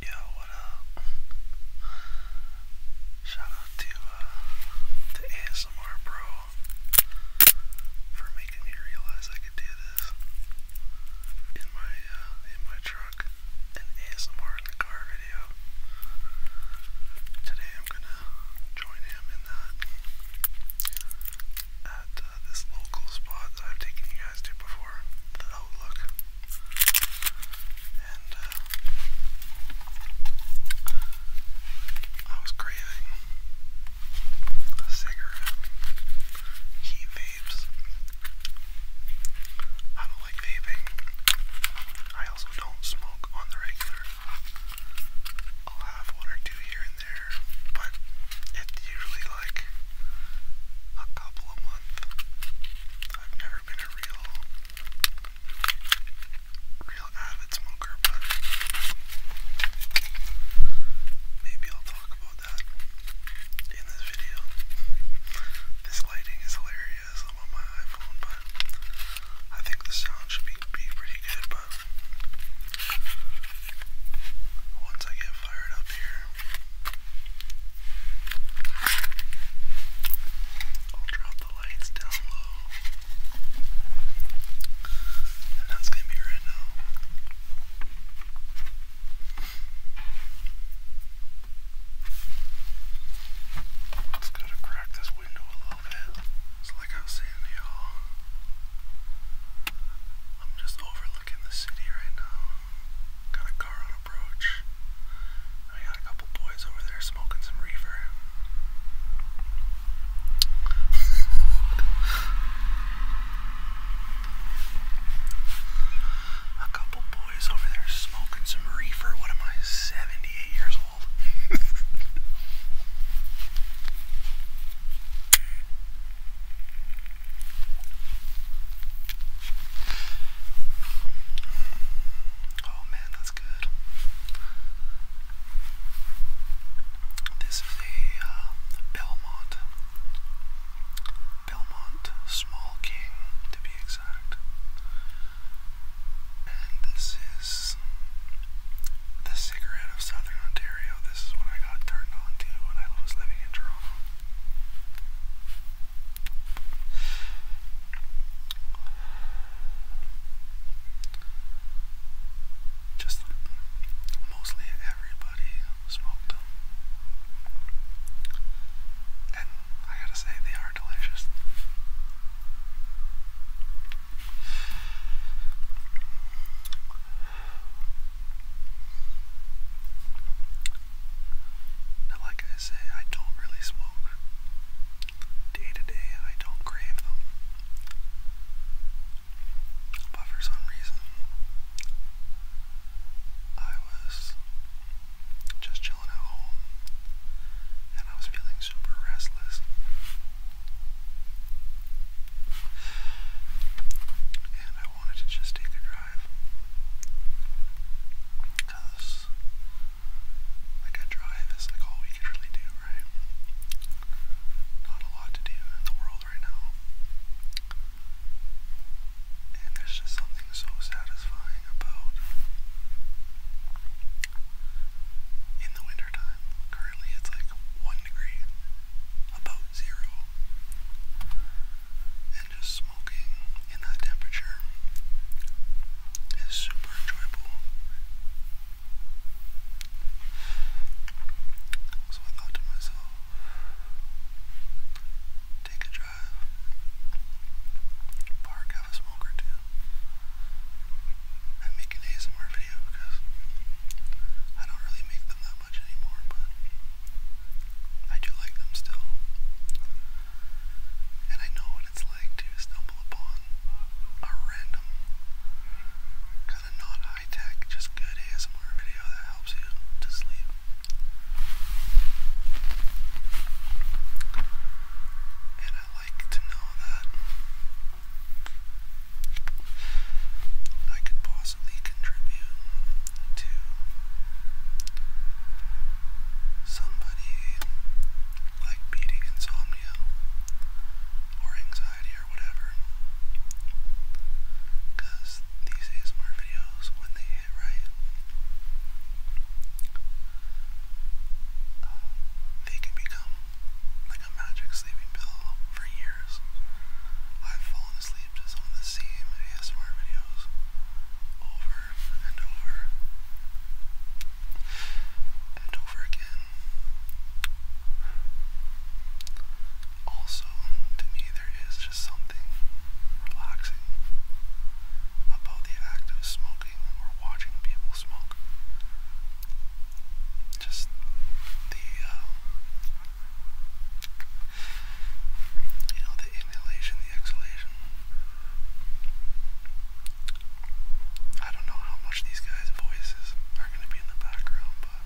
Yo, what up? Shout out to uh, the ASMR Bro for making me realize I could do this in my uh, in my truck, an ASMR in the car video. Today I'm gonna join him in that at uh, this local spot that I've taken you guys to before, the Outlook. And uh, I was craving a cigarette. He vapes. I don't like vaping. I also don't smoke on the regular. I'll have one or two here but it's usually like a couple a month. I've never been a real, real avid smoker, but maybe I'll talk about that in this video. This lighting is hilarious. I'm on my iPhone, but I think the sound should be, be pretty good, but once I get fired up here, I'll drop the lights down low. And that's going to be right now. Let's go to crack this window a little bit. So, like I was saying to y'all, I'm just overlooking the city right now. Got a car on approach. I got a couple boys over there smoking some reefer. a couple boys over there smoking some reefer. What am I, 78 years old? Oh man, that's good. This is a uh, Belmont. Belmont Small King, to be exact. And this is the cigarette of Southern Ontario. This is what I got turned on to when I was living in Toronto. Just mostly everybody smoked them. And I gotta say, they are delicious. Now, like I say, I don't really smoke. Day to day, I don't crave them. But for some reason, I was just chilling at home and I was feeling super restless. I wanted to just take a drive. Because, like, a drive is like all we could really do, right? Not a lot to do in the world right now. And there's just something so satisfying about in the wintertime. Currently, it's like 1 degree, about zero, and just smoking in that temperature is super enjoyable. So I thought to myself, take a drive, park, have a smoke or two, and make an ASMR video because I don't really make them that much anymore, I do like them still. And I know what it's like to stumble upon a random, kind of not high tech, just good ASMR video that helps you to sleep. And I like to know that I could possibly contribute to somebody like beating insomnia or anxiety or whatever. Because these ASMR videos, when they hit right, they can become like a magic sleeping pill for years years, I've fallen asleep to some of the same ASMR videos over and over and over again. Also, to me, there is just something relaxing about the act of smoking or watching people smoke. Just the uh, you know, the inhalation, the exhalation. I don't know how much these guys' voices are going to be in the background, but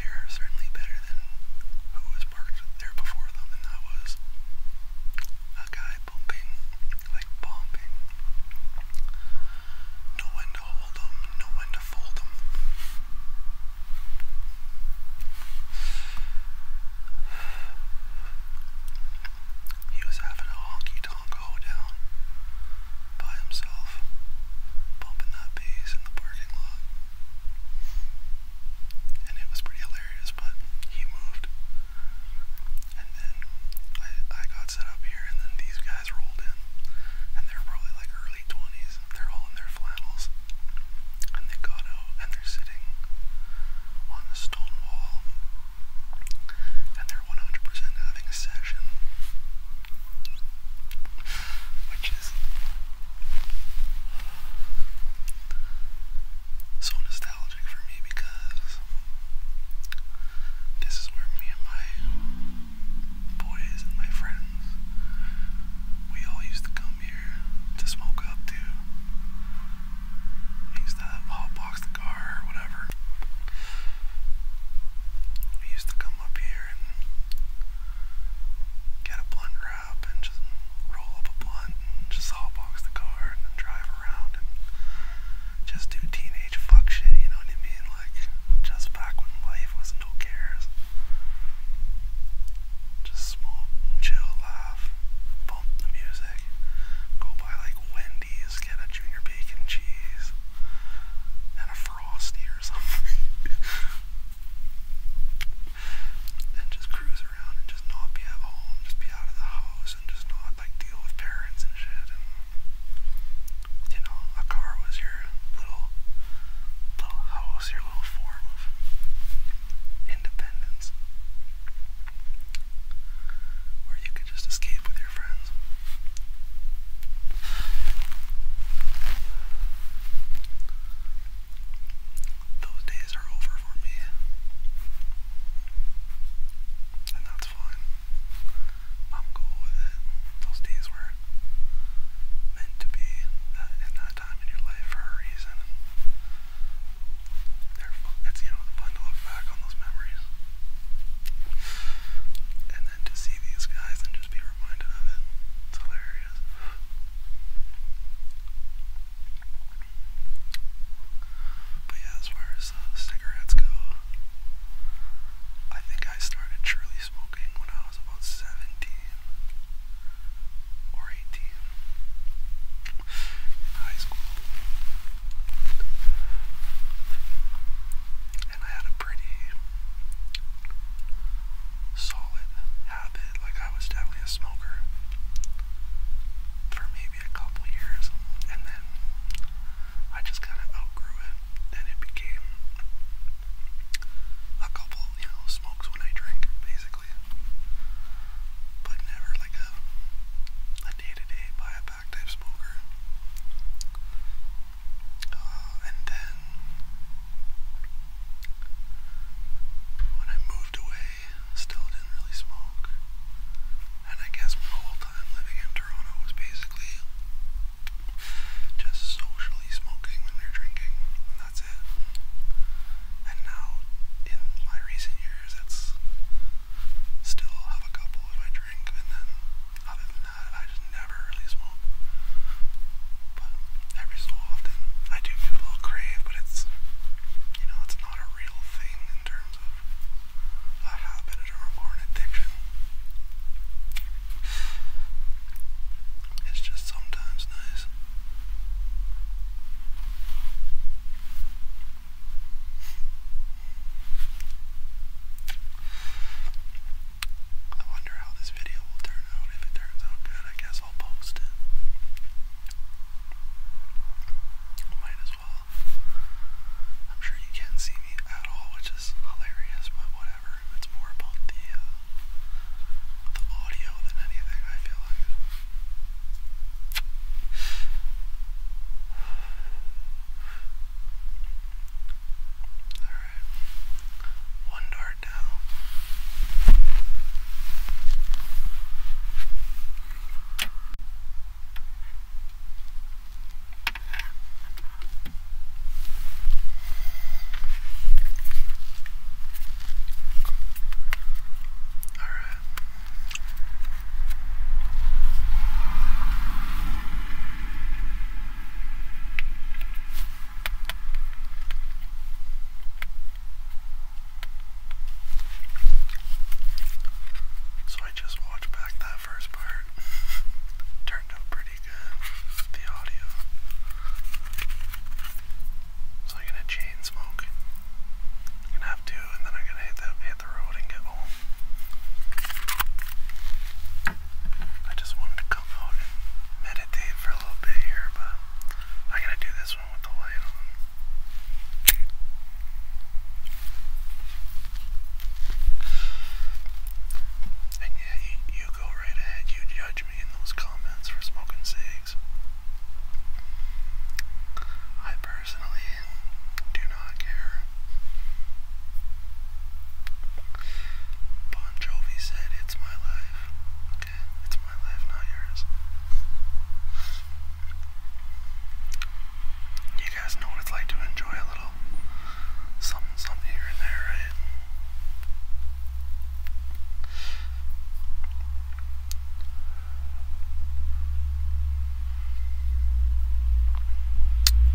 they're certainly better than who was parked there before them, and that was a guy pumping like bumping. Know when to hold them, know when to fold them. He was having a honky tonk hoedown by himself, bumping that bass in the parking lot. And it was pretty hilarious, but he moved and then I, I got set up here, and then these guys rolled in, and they're probably like early 20s. They're all in their flannels, and they got out, and they're sitting on a stone wall, and they're 100 having a session, which is so nostalgic for me because is. This is where me and my boys and my friends, we all used to come here to smoke up too. used to hotbox the car or whatever. We used to come up here and get a blunt wrap and just roll up a blunt just hotbox the car and drive around just do teenage fuck shit, you know what I mean? Like, just back when life was no cares. Just smoke, chill, laugh, bump the music, go buy like Wendy's, get a junior bacon cheese, and a frosty or something. and just cruise around and just not be at home, just be out of the house and just not like deal with parents and shit. And you know, a car was your little, little house, your little form of independence, where you could just escape with your friends. Those days are over for me that's fine. I'm cool with it. Those days were meant to be that that time in your life for a reason. they it's you know fun to look back on those memories. And then to see these guys and just be reminded of it. It's hilarious. But yeah, as far as cigarettes go. I think I started truly smoking when I was about 17 or 18 in high school. And I had a pretty solid habit, like I was definitely a smoker for maybe a couple years, and then I just kind of outgrew it, and it became a couple, you know, smokes when I drink, basically. But never like a day-to-day buy a pack type smoker. Uh, and then when I moved away, still didn't really smoke. And I guess my whole time living in Toronto was basically just socially smoking when they're drinking, and that's it. And now, in my recent years, that's still have a couple if I drink, and then other than that, I just never really smoke. But every so often, I do feel a little crave, but it's you know it's not a real thing in terms of a habit or an addiction. It's just sometimes nice. I wonder how this video will turn out. If it turns out good, I guess I'll post it. Might as I'm sure you can't see me at all, which is hilarious, but whatever. It's more about the uh, the audio than anything. I feel like. All right, one dart down. All right. So I just watched back that first part turned out pretty good. The audio. So I'm gonna chain smoke. gonna have two, and then I'm gonna hit the hit the road and get home. I just wanted to come out and meditate for a little bit here, but I'm gonna do this one with the light on. And yeah, you, go right ahead. You judge me in those comments for smoking cigs. I personally do not care. Bon Jovi said, It's my life. Okay, it's my life, not yours you guys know what it's like to enjoy a little something, something here and there, right?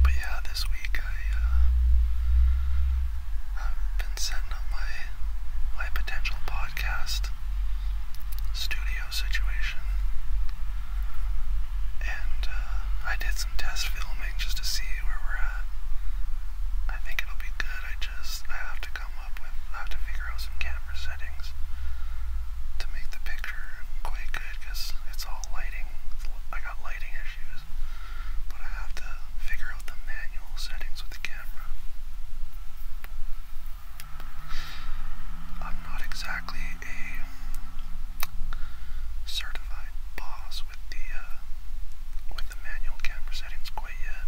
But yeah, this week I uh, I've been setting up my my potential podcast studio situation. And uh, I did some test filming just to see where we're at. I think it'll be good. I just I have to come up with I have to figure out some camera settings to make the picture quite good because it's all lighting. I got lighting issues, but I have to figure out the manual settings with the camera. I'm not exactly a certified boss with the uh, with the manual camera settings quite yet,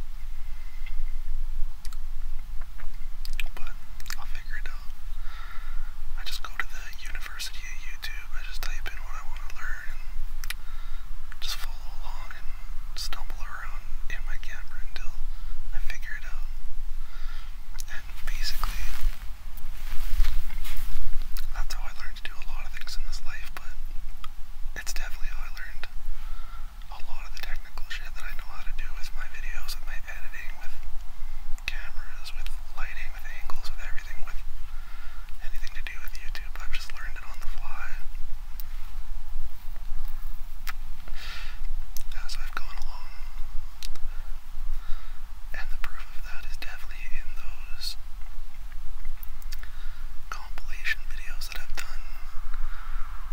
but I'll figure it out. I just go to the University of YouTube. I just type in what I want to learn and just follow along and stumble around in my camera until I figure it out basically, that's how I learned to do a lot of things in this life, but it's definitely how I learned a lot of the technical shit that I know how to do with my videos, with my editing, with cameras, with lighting, with angles, with everything, with anything to do with YouTube. I've just learned it on the fly. As I've gone along, and the proof of that is definitely in those compilation videos that I've done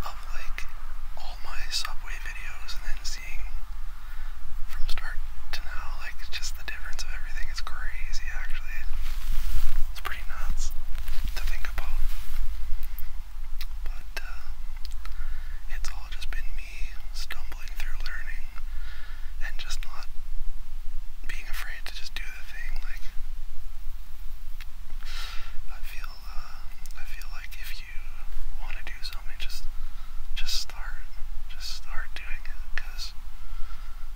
of like all my subway videos and then seeing from start to now like just the difference of everything is crazy actually. It's pretty nuts to think about. But uh, it's all just been me me stumbling through learning and just not being afraid to just do the thing. Like I feel, uh, I feel like if you want to do something, just just start, just start doing it, because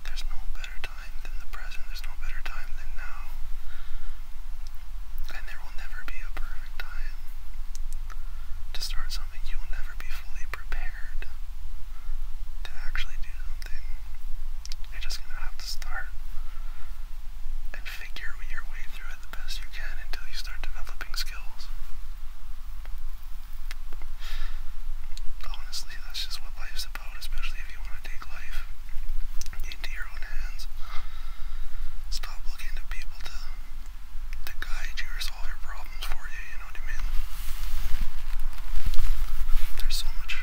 there's no better time than the present. There's no better time than now. And there will never be a perfect time to start something, you will never be fully prepared to actually do something. You're just gonna have to start and figure your way through it the best you can until you start developing skills. Honestly, that's just what life's about, especially if you want to take life into your own hands. Stop looking to people to to guide you solve your problems for you, you know what I mean? There's so much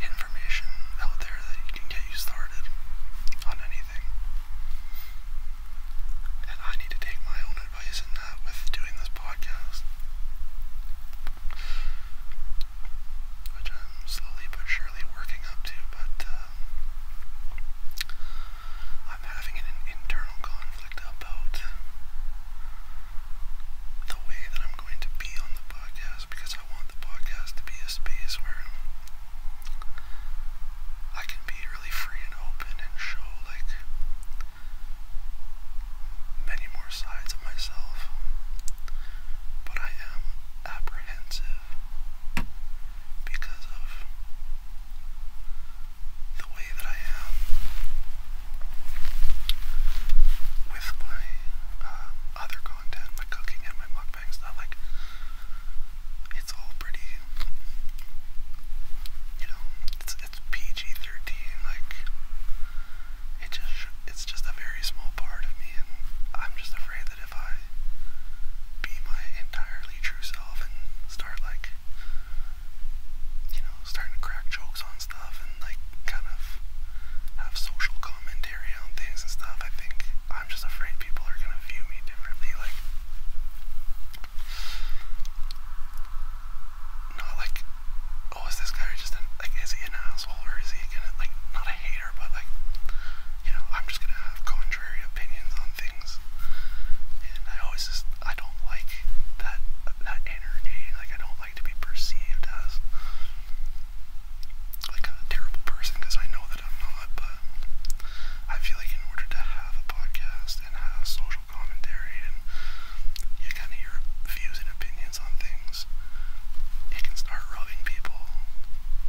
information out there that can get you started on anything. And I need to take my own advice in that with doing this podcast. Which I'm slowly but surely working up to, but uh, I'm having an internal conflict about the way that I'm going to be on the podcast because I want the podcast to be a space where I can be really free and open and show like many more sides of myself. But I am apprehensive because of the way that I am with my uh, other content, my cooking and my mukbang stuff. Like, it's all pretty, you know, it's PG-13, like, it just, it's just a very small part of me, and I'm just afraid that if I be my entire true self and start like you know, starting to crack jokes on stuff and like kind of have social commentary on things and stuff. I think I'm just afraid people are gonna view me differently, like not like oh is this guy just like is he an asshole or is he gonna like not a hater but like you know I'm just gonna have contrary opinions on things and I always just I don't like that that energy. Like I don't like to be perceived as like a terrible person because I know that I'm not. But I feel like in order to have a podcast and have social commentary and you kind of your views and opinions on things, it can start rubbing people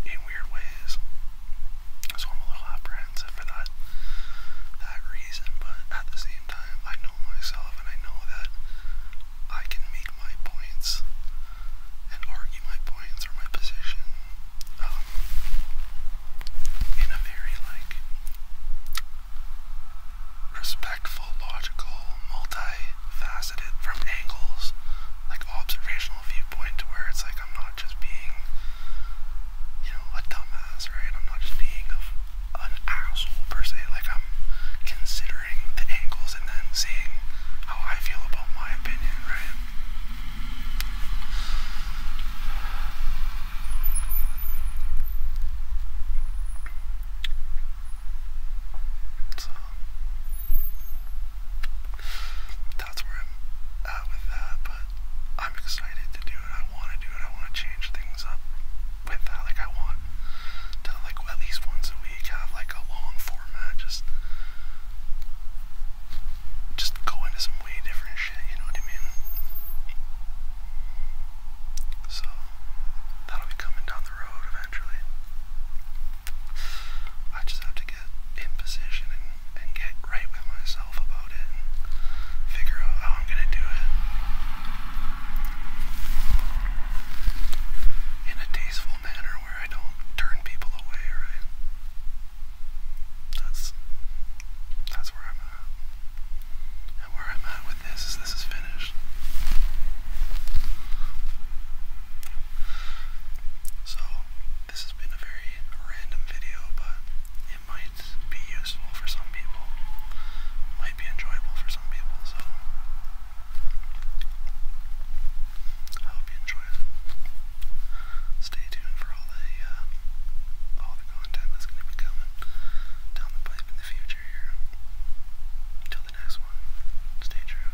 in weird ways. So I'm a little apprehensive for that that reason, but at the same time I know myself and I know that I can make my points and argue my points or my position um, in a very like respectful, logical, multifaceted from angles, like observational viewpoint to where it's like I'm not just being you know, a dumbass, right? I'm not just being an asshole per se. Like I'm considering the angles and then seeing how I feel about my opinion, right? So that's where I'm at with that, but I'm excited to do it. I want to do it. I want to change things up with that. Like I want to like at least once a week have like a long format. Just just go into some way different shit. You know what I mean? So that'll be coming down the road eventually. I just have to get in position and and get right with myself about it figure out how I'm gonna do it in a tasteful manner where I don't turn people away, right? That's that's where I'm at. And where I'm at with this is this is finished. So, this has been a very random video, but it might be useful for some people, might be enjoyable for some people, so I hope you enjoy it. Stay tuned for all the uh, all the content that's going to be coming down the pipe in the future here. Till the next one, stay true.